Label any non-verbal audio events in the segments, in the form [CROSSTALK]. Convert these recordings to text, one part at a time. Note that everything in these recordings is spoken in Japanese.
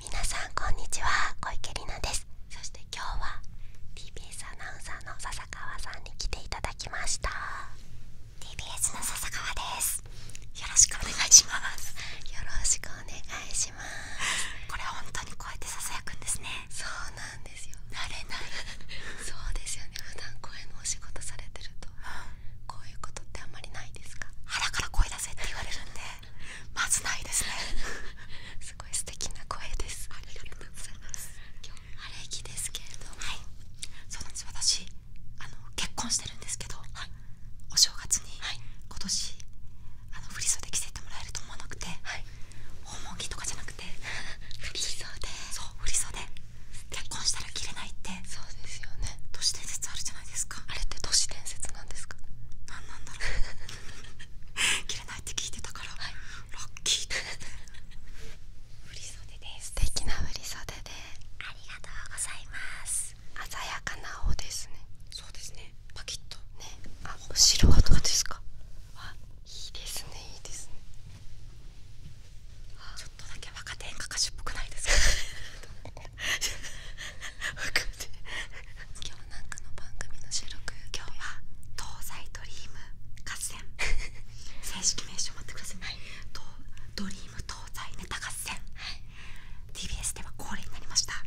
皆さんこんにちは小池里奈ですそして今日は TBS アナウンサーの笹川さんに来ていただきました TBS の笹川ですよろしくお願いしますよろしくお願いしますこれは本当にこうやってささやくんですね慣れないそうですよね普段声のお仕事されてると、こういうことってあんまりないですか腹から声出せって言われるんでまずないですねすごい素敵な声ですありがとうございます今日晴れきですけれどもそうなんです私あの結婚してるんですけど、お正月に、今年あの振袖着せてもらえると思わなくて、はいはい着とかじゃなくて振り袖そう振り袖結婚したら着れないってそうですよね都市伝説あるじゃないですかあれって都市伝説なんですかなんなんだろう着 [LAUGHS] れないって聞いてたから、ラッキーだね振り袖です素敵な振り袖でありがとうございます鮮やかな青ですねそうですねパキッとねあ後ろですかいいですねいいですねちょっとだけ若手演歌歌手っぽくないですか [LAUGHS] 今日なんかの番組の収録今日は東西ドリーム合戦正式名称待ってください、はドリーム東西ネタ合戦、TBS では恒例になりました、はい、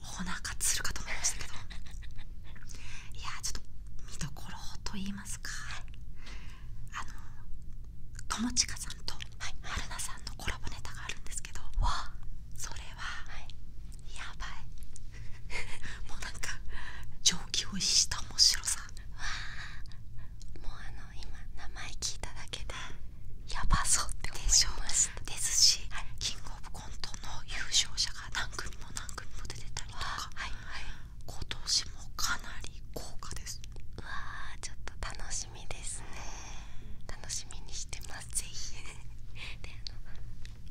オーナるかと思いましたけどいやちょっと見どころと言いますかあの友近さんと春菜さんのコラボネタがあるんですけど、はい、それは、やばいもうなんか上気を逸した面白さもうあの今名前聞いただけでやばそうって思いまですし、キングオブコントの優勝者が何組も何組も出てたりとか、はいはい、今年もかなり豪華ですうわちょっと楽しみですね楽しみにしてますぜひ [LAUGHS]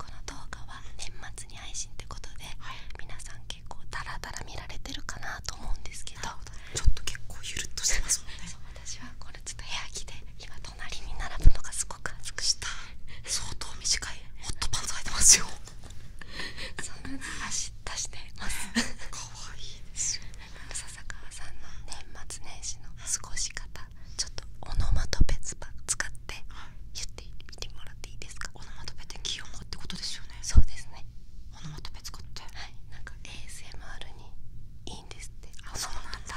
この動画は年末に配信ってことで、皆さん結構ダラダラ見られてるかなと思うんですけどちょっと結構ゆるっとしてますもんね [LAUGHS] 私はこれちょっと部屋着で隣に並ぶのがすごく暑くした相当短いホットパンツ履いますよ足出してます可愛いいです笹川さんの年末年始の過ごし方ちょっとオノマトペ使って言ってもらっていいですかオノマトペって擬音ってことですよねそうですねオノマトペ使ってはいなんか ASMR にいいんですってあそうなんだ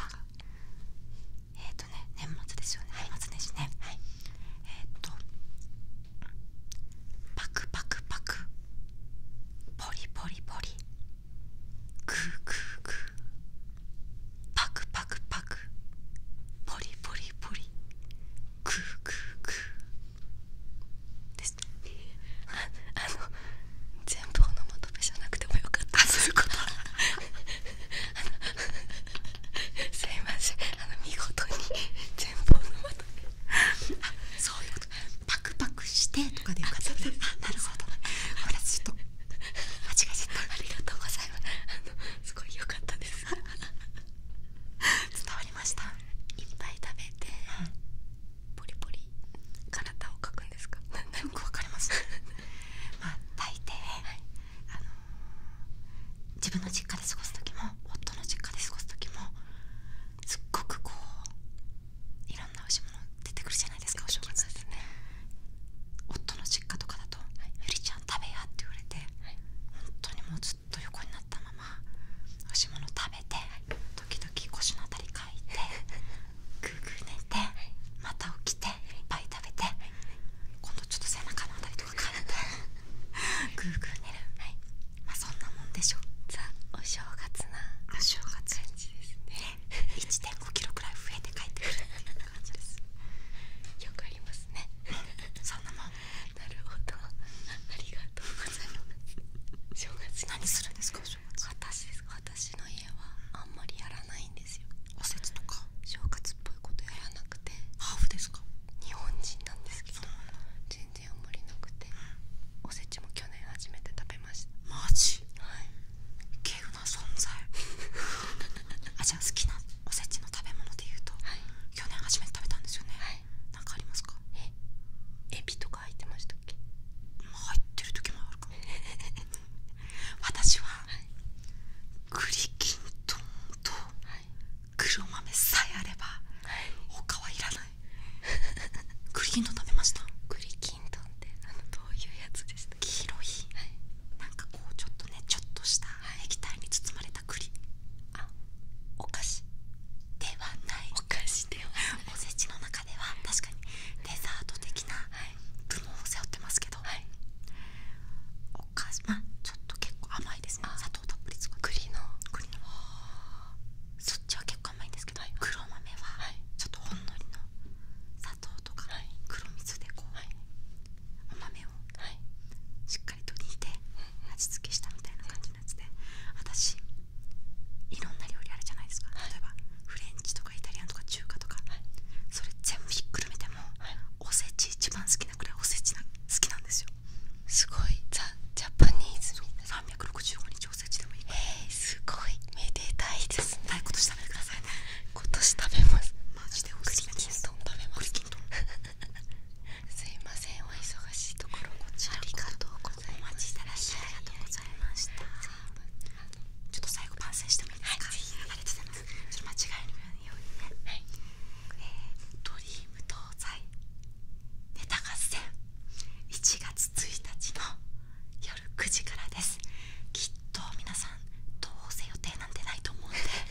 えっ、とね年末ですよね、年末年始ね、えっ、とパクパクパクポリポリポリクークークーパクパクパクポリポリポリクークークー [LAUGHS] あの全部オノマじゃなくてもよかったですあのいあの見事に全部オそういうこと [LAUGHS] パクパクしてとかでっなるほどほと間違えったありがとうございますすごい良かったです [LAUGHS] 伝わりましたいっぱい食べて、ポリポリ体を描くんですかよくわかります [LAUGHS] まあ大抵、あの自分の実家で過ごす時も夫の実家で過ごす時もすっごくこういろんなおしいもの出てくるじゃないですかお正月ですね夫の実家とかだと「ゆりちゃん食べや」って言われて、はい、本当にもうずっと横にたままおしも食べて時々腰のあたりかいてグーグー寝てまた起きていっぱい食べて今度ちょっと背中のあたりとかかーグー寝るまあそんなもんでしょザお正月なお正月1.5キロくらい増えて帰ってる [LAUGHS] よくありますねそんなもんなるほどありがとうございます正月何するんですか私私の家はあんまりやらないんですよおせちとか正月っぽいことやらなくてハーフですか日本人なんですけど全然あんまりなくておせちも去年初めて食べましたマジはい稀有な存在 [LAUGHS] じゃあ好きなおせちの食べ物でいうと、去年初めて食べたんですよね、いなんかありますかえエビとか入ってましたっけ入ってる時もあるかも [LAUGHS] 私は、はい、栗きんとと黒豆さえあれば、他はいらない栗きんとんってどういうやつでし黄色い、なんかこうちょっとねちょっとした液体に包まれ栗あお菓子ではないお菓子おせちの中では確かにデザート的な部門を背負ってますけど、はい、お菓子まあちょっと結構甘いですね砂糖たっぷり使っ栗の栗のそっちは結構甘いんですけど、黒豆はちょっとほんのりの砂糖とか黒蜜でこう、はい、お豆をしっかりと煮て、味付けしたみたいな感じのやつで私いろんな料理あるじゃないですか、フレンチとかイタリアンとか中華とか、それ全部ひっくるめても、おせち一番好きなくらいおせち好きなんですよすごいザ・ジャパニーズ365日おせちでもいいえすごいめでたいですね今年食べい今年食べますマジですいませんお忙しいところこちらありがとうございましたらしありがとうございましたちょっと最後完成してもいいですか、はい、ありがとうございますそれ間違えるようにね、はい、えー、ドリーム東西ネタ合戦1月1日の夜9時からですきっと皆さんどうせ予定なんてないと思うんで